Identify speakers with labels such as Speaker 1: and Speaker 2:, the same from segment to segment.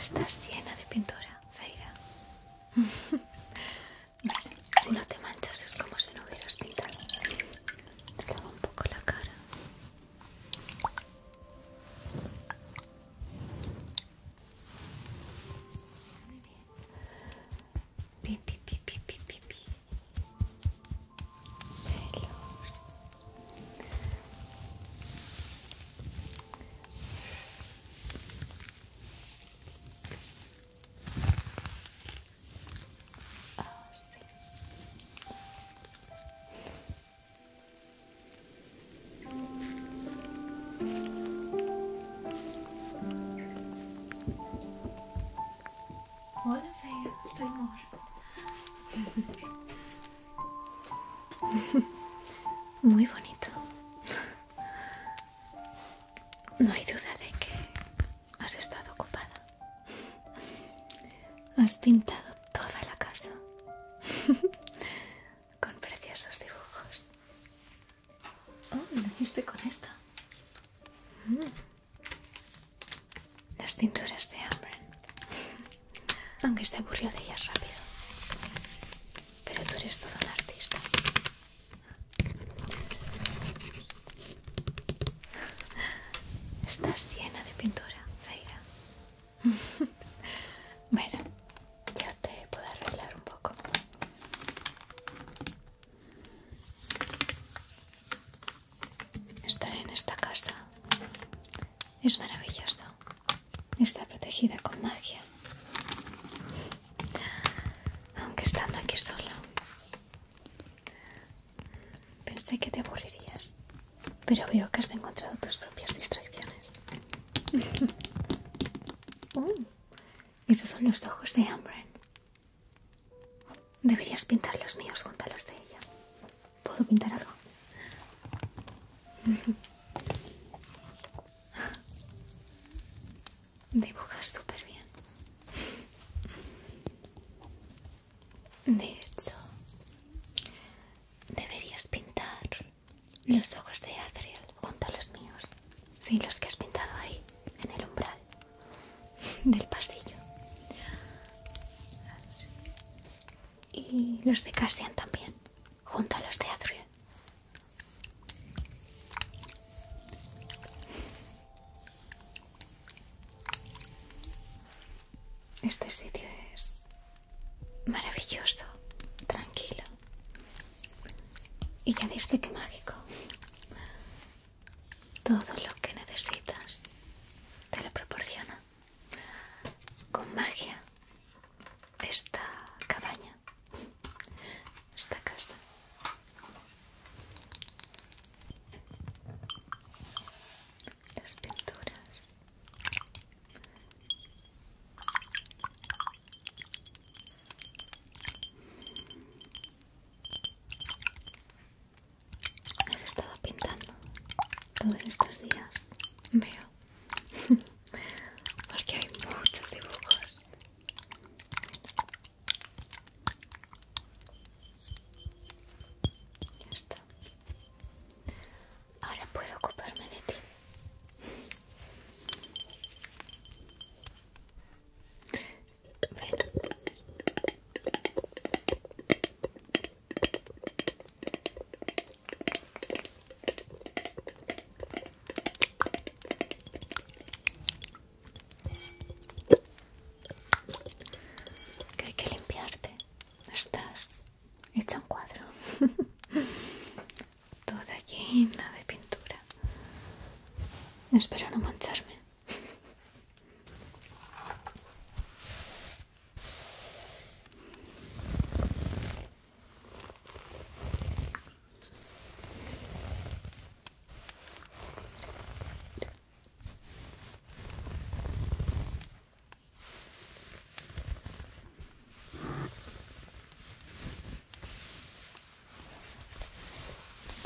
Speaker 1: Estás llena de pintura, Feira. Vale, si no te manchas es como si no hubieras pintado. Te lavo un poco la cara. Pi, pi, pi, pi, pi, pi, pi. Pelos. Oh, sim. Hola, soy Mor. Muy bonito. No hay duda de que has estado ocupada. Has pintado toda la casa. con preciosos dibujos. Oh, hiciste con esta. Mm. Las pinturas de hambre Aunque se aburrió de ellas rápido. Pero tú eres todo un artista. Estás llena de pintura, Zaira. bueno, ya te puedo arreglar un poco. Estar en esta casa es maravilloso. Está protegida con magia. Aunque estando aquí sola. Pensé que te aburrirías, pero veo que has encontrado tus propias distracciones esos son los ojos de Ambren. Deberías pintar los míos junto a los de ella. ¿Puedo pintar algo? Dibujas súper bien. De hecho, deberías pintar los ojos de Adriel junto a los míos. Sí, los que has pintado ahí, en el umbral del pasillo. Y los de Cassian también, junto a los de Adriel. Este sitio es maravilloso, tranquilo. Y ya viste que mágico. Todo lo que necesitas te lo proporciona. Con magia, esta cabaña, esta casa. Las pinturas Has estado pintando todos estos días, veo, porque hay muchos dibujos. Ya está. Ahora puedo ocuparme de ti. Que hay que limpiarte. Estás hecho un cuadro. toda llena de pintura. Espero no mancharme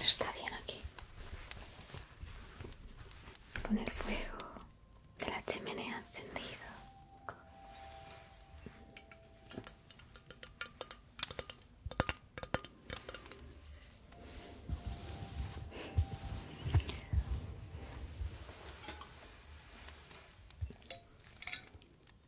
Speaker 1: está bien aquí. Con el fuego de la chimenea encendido.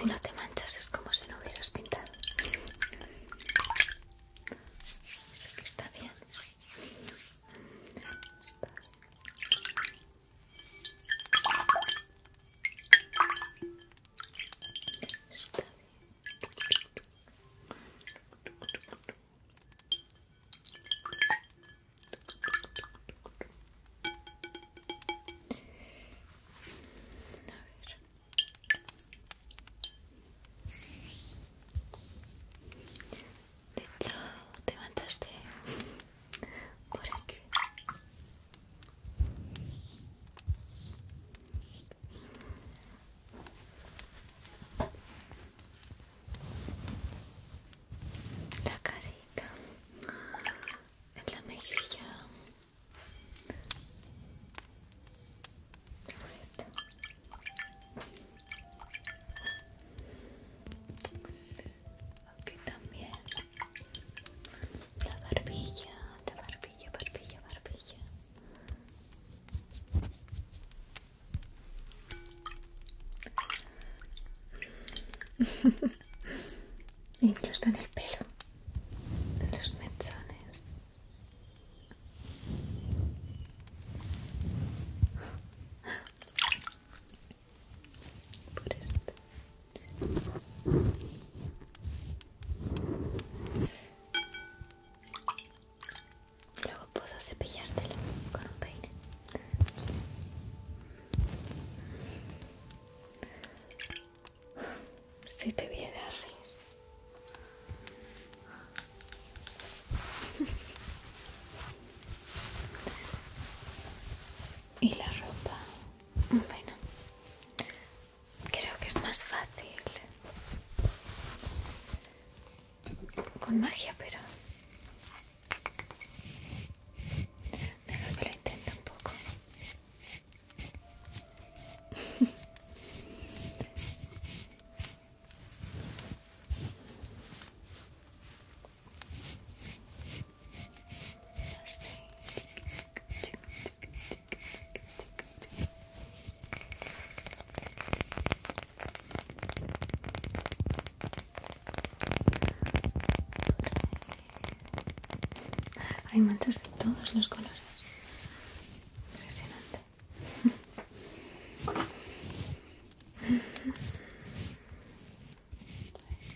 Speaker 1: Si no te manchas es como si no hubieras pintado. que Está bien. De hecho, te manchaste por aquí la carita en la mejilla Perfecto. Aquí también la barbilla, la barbilla, barbilla, barbilla. Incluso en el pelo, los mechones por esto luego puedes cepillártelo con un peine Si te a reír. y la ropa bueno, creo que es más fácil con magia, pero deja que lo intente un poco. Hay manchas de todos los colores. Impresionante.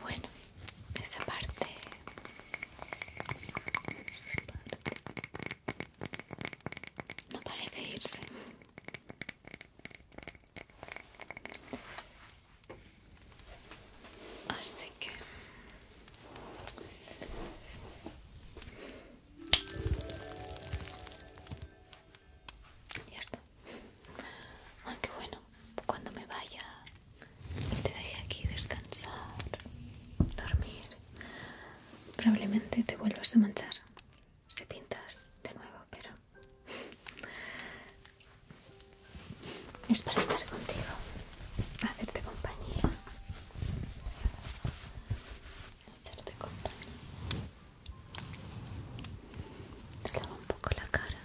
Speaker 1: Bueno, esa parte, parte no parece irse. Así que ya está. Aunque bueno, cuando me vaya te deje aquí descansar, dormir, probablemente te vuelvas a manchar si pintas de nuevo, pero es para estar contigo, hacerte compañía, ¿sabes? hacerte compañía. Te lavo un poco la cara.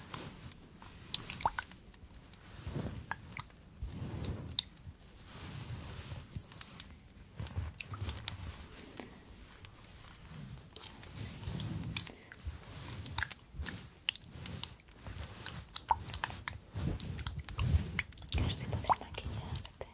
Speaker 1: Así podré maquillarte.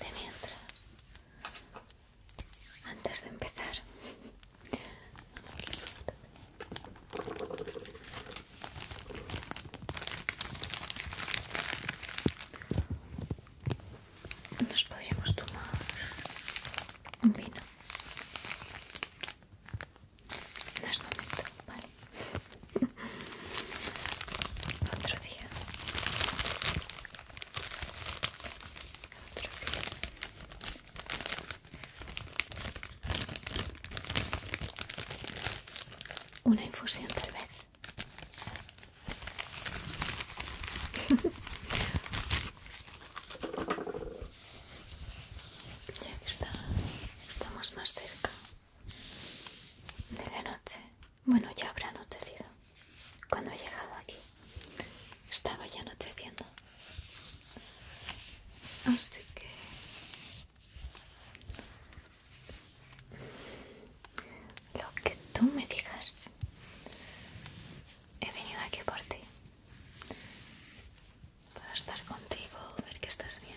Speaker 1: de mientras antes de empezar nos podríamos tomar un vino en este momento, vale otro día. Otro día. Una infusión tal vez. ya que está, estamos más cerca de la noche. Bueno, ya habrá anochecido. Cuando he llegado aquí, estaba ya anocheciendo. Así que... Lo que tú me digas. He venido aquí por ti. Para estar contigo, ver que estás bien.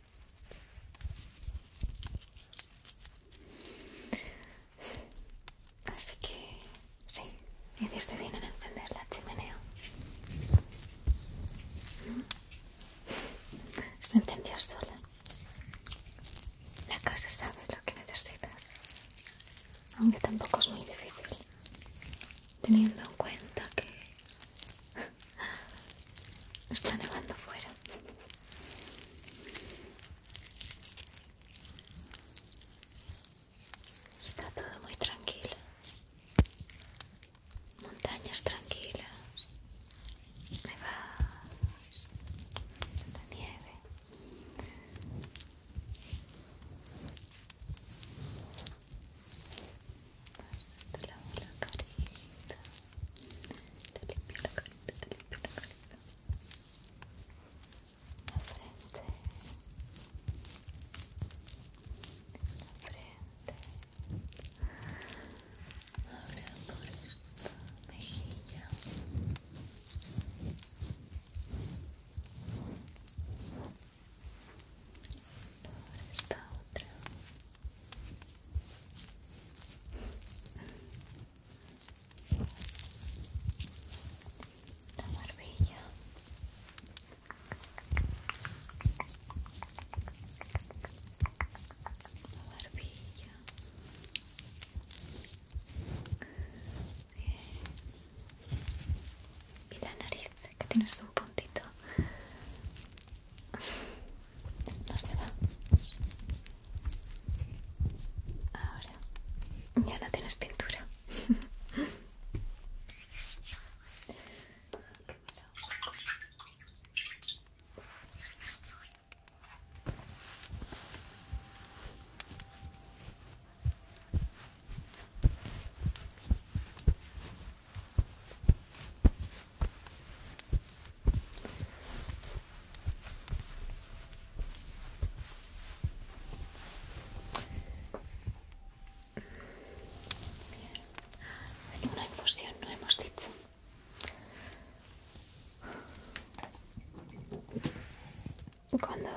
Speaker 1: Así que sí, hiciste bien en encender la chimenea. ¿Mm? Se encendió sola. La casa sabe lo que necesitas, aunque tampoco es muy difícil, teniendo en cuenta que está nevando fuera. Está todo muy tranquilo. Montañas tranquilas. Nevadas. La nieve. la carita. Te limpio la carita, te limpio la carita. La frente. La frente. Ahora por esta mejilla. Por esta otra la barbilla la barbilla y la nariz que tiene su puntito Ahora ya no tienes pintura. Una infusión, no hemos dicho. Cuando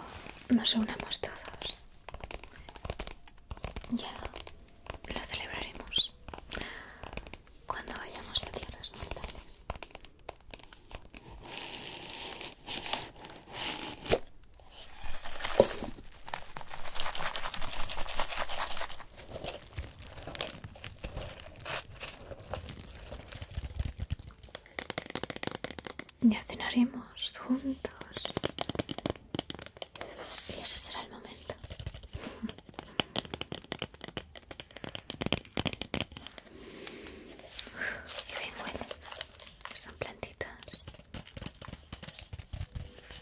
Speaker 1: nos unamos todos, ya lo celebraremos. Cuando vayamos a tierras mortales ya cenaremos juntos. Y ese será el momento. Qué bien huele. son plantitas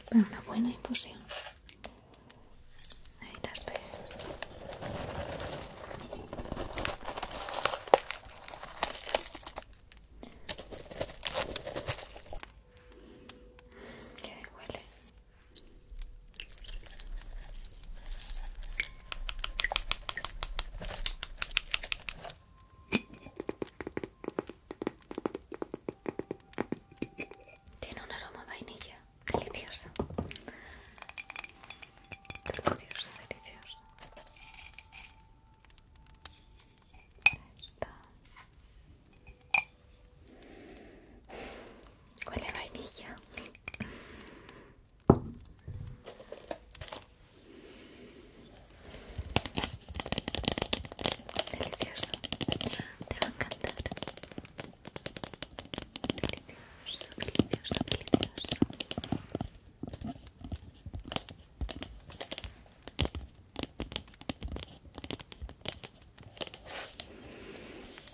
Speaker 1: para una buena infusión. Ahí las ves. Que huele. Tiene un aroma vainilla, delicioso. Delicioso, delicioso. está. Huele a vainilla. Delicioso. Te va a encantar. Delicioso, delicioso, delicioso.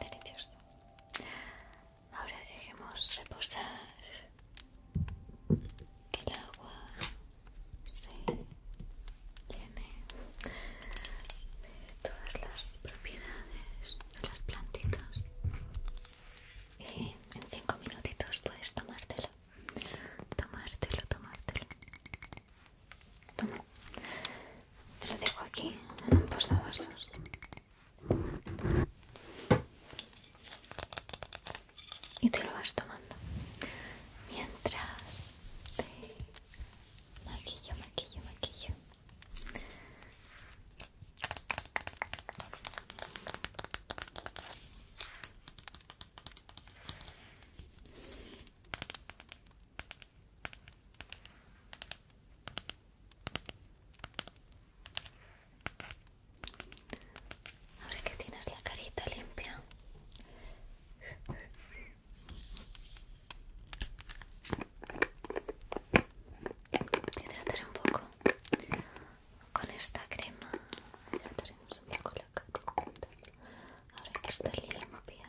Speaker 1: Delicioso. Ahora dejemos reposar que el agua se llene de todas las propiedades de las plantitas y en 5 minutitos puedes tomártelo tomártelo tomártelo Toma. Te lo dejo aquí, por un Y te lo vas tomando. Mientras te maquillo, maquillo, maquillo. Ahora que tienes la carita limpia. que hidrataré un poco con esta crema. Hidrataremos un poco la Ahora que está limpia.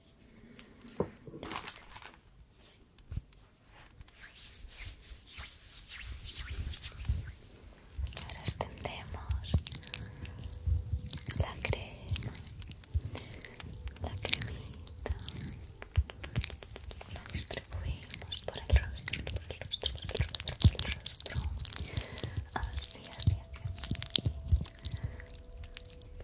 Speaker 1: Ahora extendemos la crema, la cremita, la distribuimos por el rostro, por el rostro, por el rostro, así, así, así.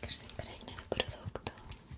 Speaker 1: que se impregna de producto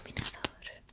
Speaker 1: iluminador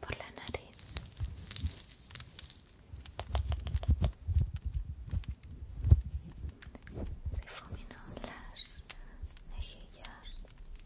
Speaker 1: por la nariz se las mejillas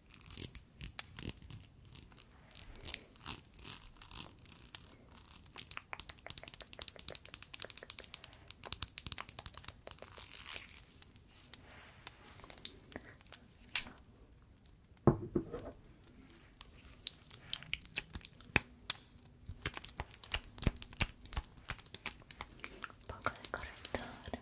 Speaker 1: Un poco de corrector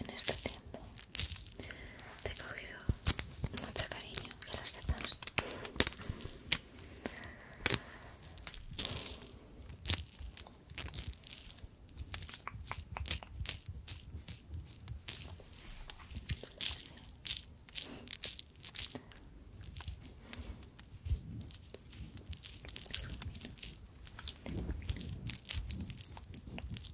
Speaker 1: en este tiempo te he cogido mucho cariño, que lo sepas.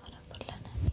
Speaker 1: Ahora por la nariz.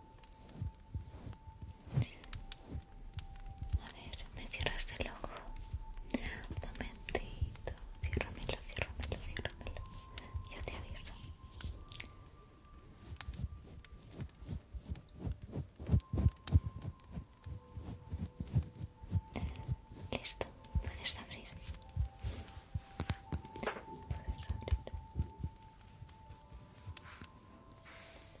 Speaker 1: A ver, me cierras el ojo. Un momentito. Ciérramelo, ciérramelo, ciérramelo. Yo te aviso. Listo, puedes abrir. Puedes abrir.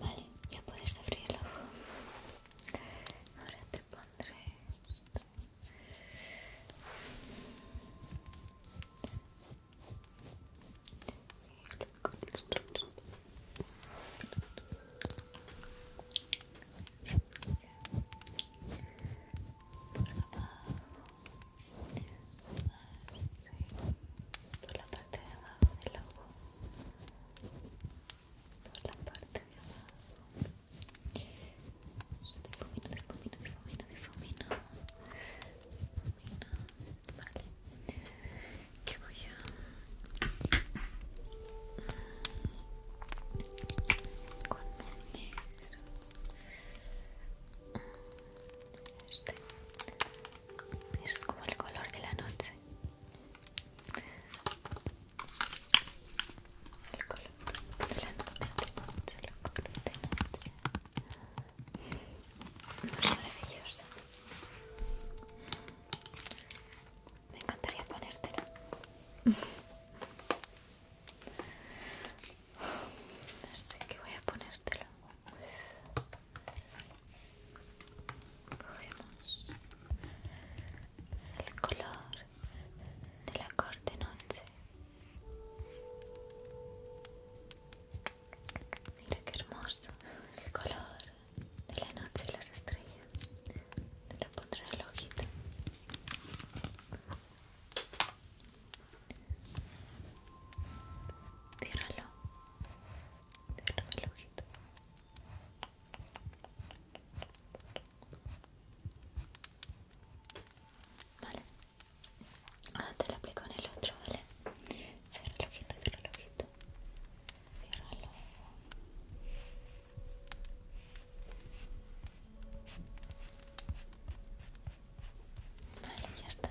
Speaker 1: Vale, ya puedes abrir el ojo. Ahora te pondré esto. Por abajo, por la parte de abajo del ojo por la parte de abajo difumino, difumino, difumino, difumino vale que voy a con negro este es como el color de la noche. El color de la noche, el color de noche. Maravilloso. Me encantaría ponértelo. sé que voy a ponértelo. Cogemos el color de la corte noche. Mira qué hermoso el color de la noche y las estrellas. Te lo pondré en el ojito. Tíralo, Cierra el ojito. Vale. Ahora te lo aplico en el otro, ¿vale? Cierra el ojito, cierra el ojito. Ciérralo. Vale, ya está.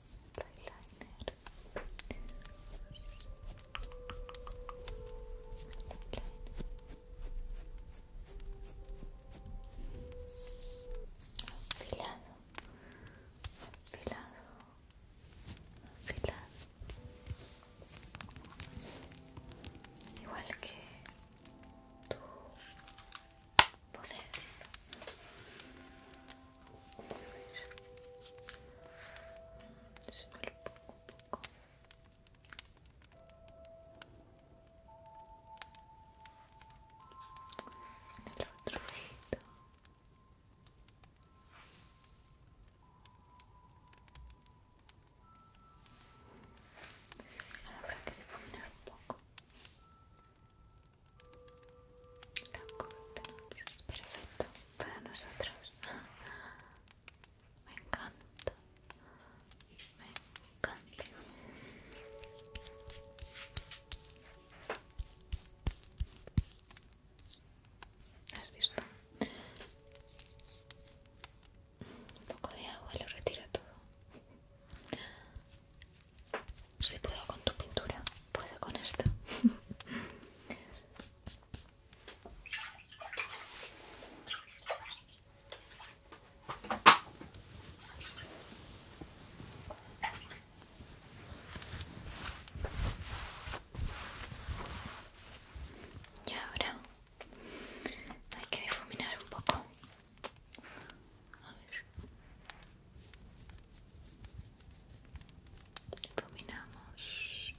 Speaker 1: eyeliner afilado afilado afilado igual que tu poder se poco poco. En el otro ojito. Ahora que difuminar un poco es perfecto para nosotros. Me encanta. Me encanta. ¿Has visto? Un poco de agua lo retira todo. Si puedo con tu pintura, puedo con esto. Y ahora hay que difuminar un poco. A ver. Dominamos.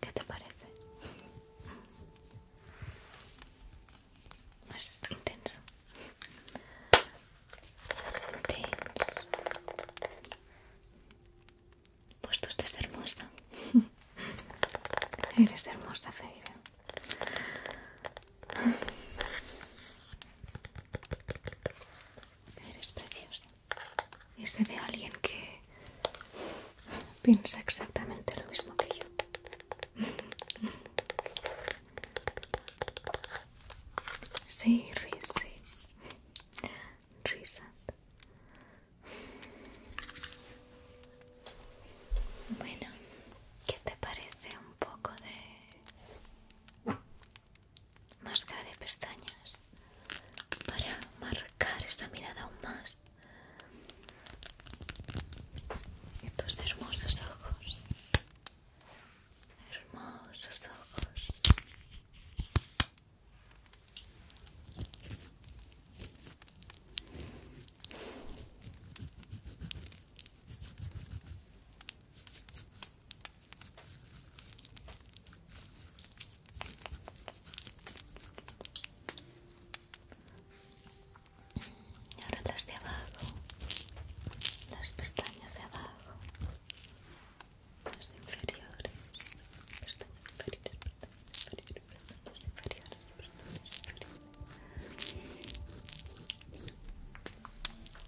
Speaker 1: ¿Qué te parece? Más intenso. Más intenso. Pues tú estás hermosa. Eres hermosa, Feira. Eres precioso. Y se ve alguien que piensa exactamente lo mismo que yo. Sí, Risa. Risas. Bueno, ¿qué te parece un poco de máscara de pestañas para marcar esta mirada aún más tus hermosos ojos hermosos ojos y ahora las de abajo, las pestañas de abajo, las de inferiores, pestañas inferiores, pestañas inferiores, pestañas inferiores, pestañas inferiores.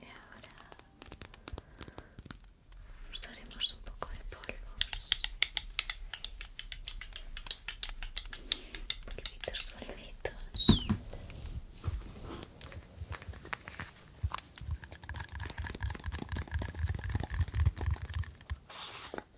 Speaker 1: Y ahora usaremos un poco de polvos. Polvitos, polvitos.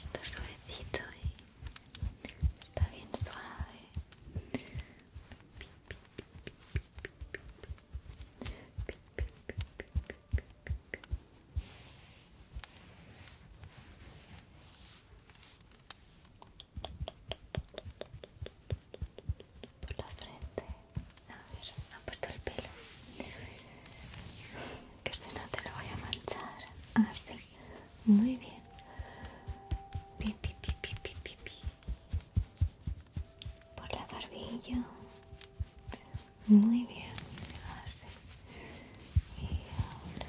Speaker 1: Está suavecito, ¿eh? Está bien suave por la frente, a ver, aparto el pelo, que se no te lo voy a manchar, así, ah, muy bien, pi, por la barbilla, muy bien, así, ah, y ahora,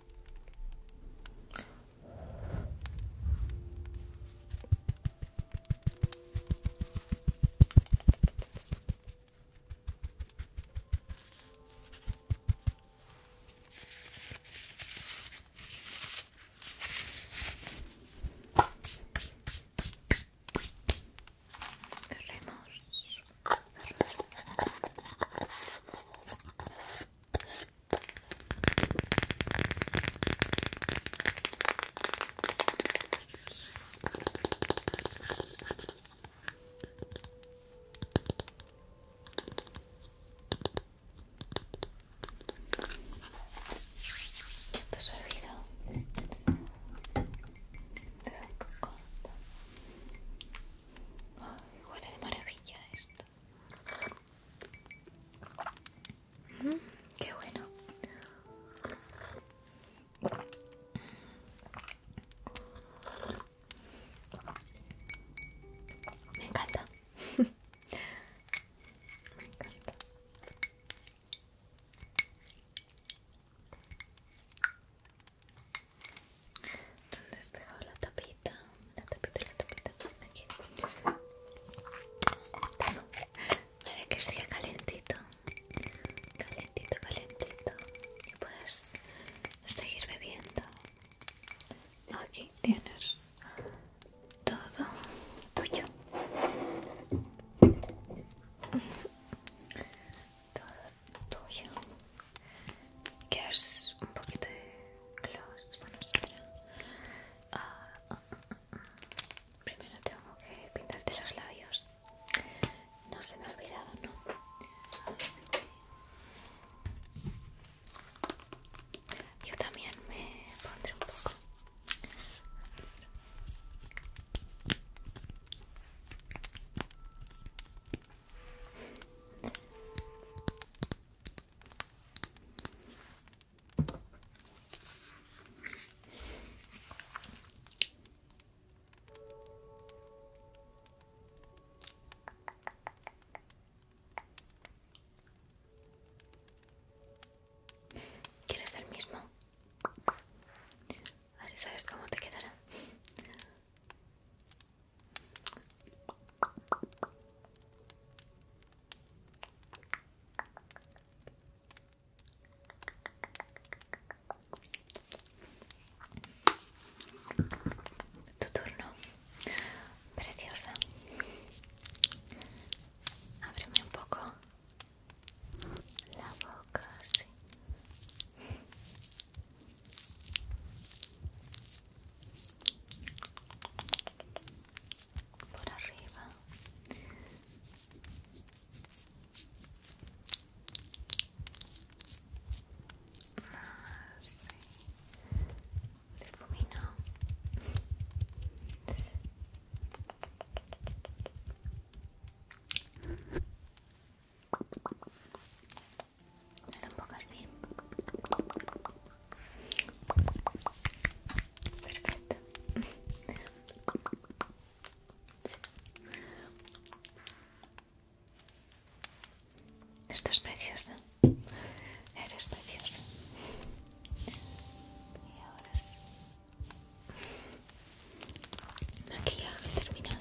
Speaker 1: Remors Chupa su oído. Te un poco. Ay, huele de maravilla esto. Mm, qué bueno. Me encanta. Me encanta. ¿Dónde has dejado la tapita? La tapita, la tapita. Aquí. Para que siga calientito, Calentito, calentito. Y puedes seguir bebiendo. Aquí tienes todo tuyo. Todo tuyo. ¿Quieres un poquito de gloss? Bueno, espera. Ah, ah, ah, Primero tengo que pintarte los labios. No se me ha olvidado, ¿no? Yo también me pondré un poco. ¿Quieres el mismo? Así sabes cómo te quedará. Tu turno, preciosa. Ábreme un poco la boca, por arriba así difumino se un poco así perfecto Esto es precioso. Eres preciosa. Y ahora sí. Maquillaje terminado.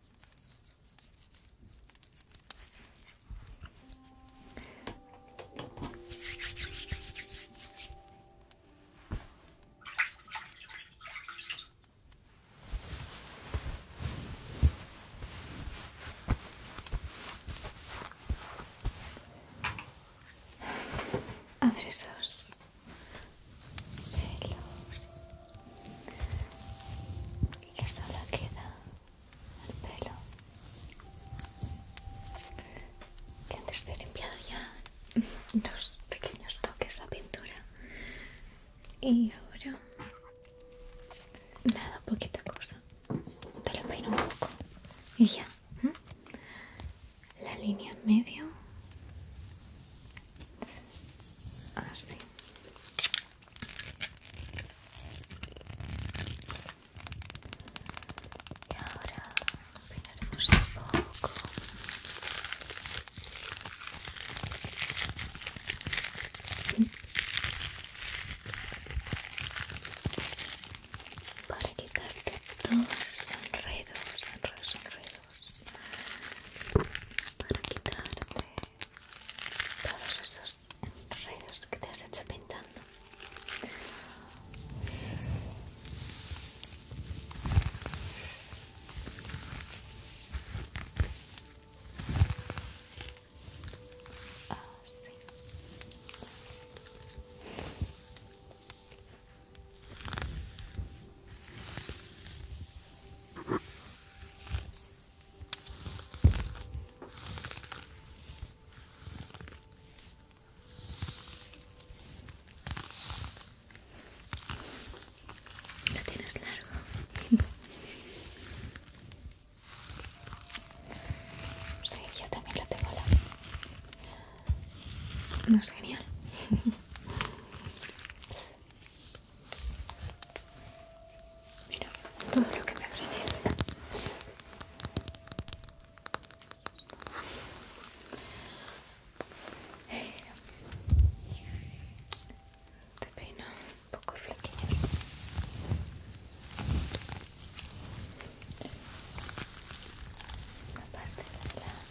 Speaker 1: Abre esos pelos y solo queda el pelo que antes de limpiado ya los pequeños toques de pintura y ahora nada poquita cosa te lo peino un poco y ya la línea en medio Así. Y ahora peinaremos un poco. Para quitarte todos los enredos, enredos, enredos para quitarte todos esos enredos que te has hecho pintando. Así. Ah, lo tienes largo. Sí, yo también lo tengo largo. No es genial. Mira, todo lo que me agradecen. te peino un poco flaquillo. La parte de adelante.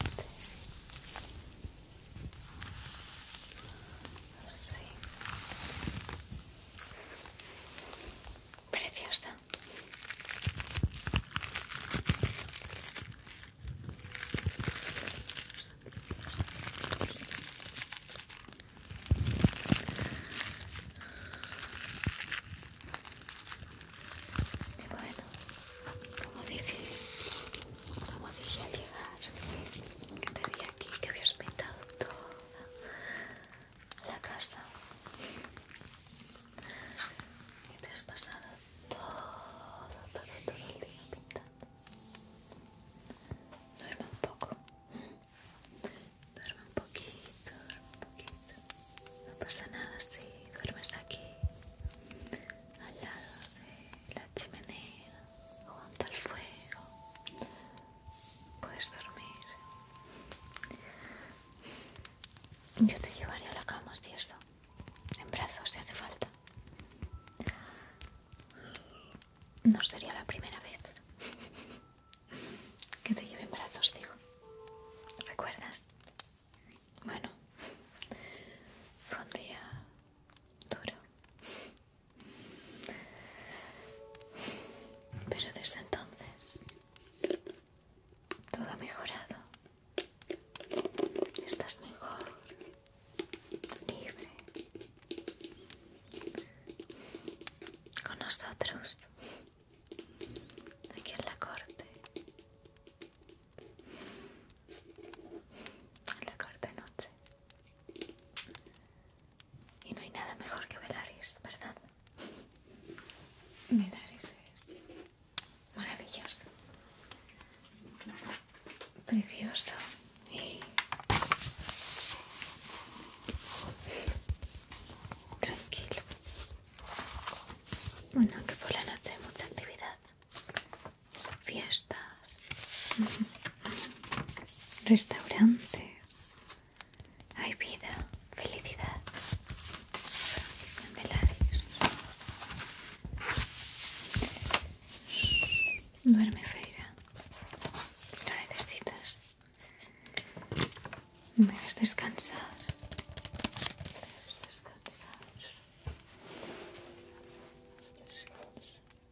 Speaker 1: Preciosa. Y bueno, como dije, como dije al llegar, que te vi aquí, que habías pintado toda la casa y te has pasado todo, todo, todo el día pintando. Duerme un poco, duerme un poquito, duerme un poquito. No pasa nada si duermes aquí, al lado de la chimenea, junto al fuego, puedes dormir. Yo te llevaría a la cama si eso, en brazos si hace falta. No sería la primera vez que te lleve en brazos, digo. ¿Recuerdas? Bueno, fue un día duro. Pero desde entonces todo ha mejorado. Estás mejor, libre, con nosotros, aquí en la corte. En la corte noche. Y no hay nada mejor que Velaris, ¿verdad? Velaris es maravilloso, precioso y tranquilo. Bueno, que por la noche hay mucha actividad fiestas, restaurantes. Hay vida, felicidad. Melares. Duerme, Feira. Lo necesitas. me descansar. descansar.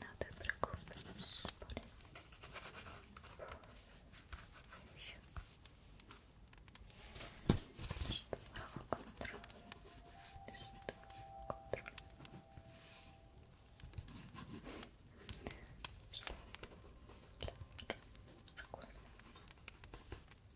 Speaker 1: Надо прикупить более. Еще. Что контроль. Что контроль. Что? Прикольно.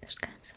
Speaker 1: Descansa.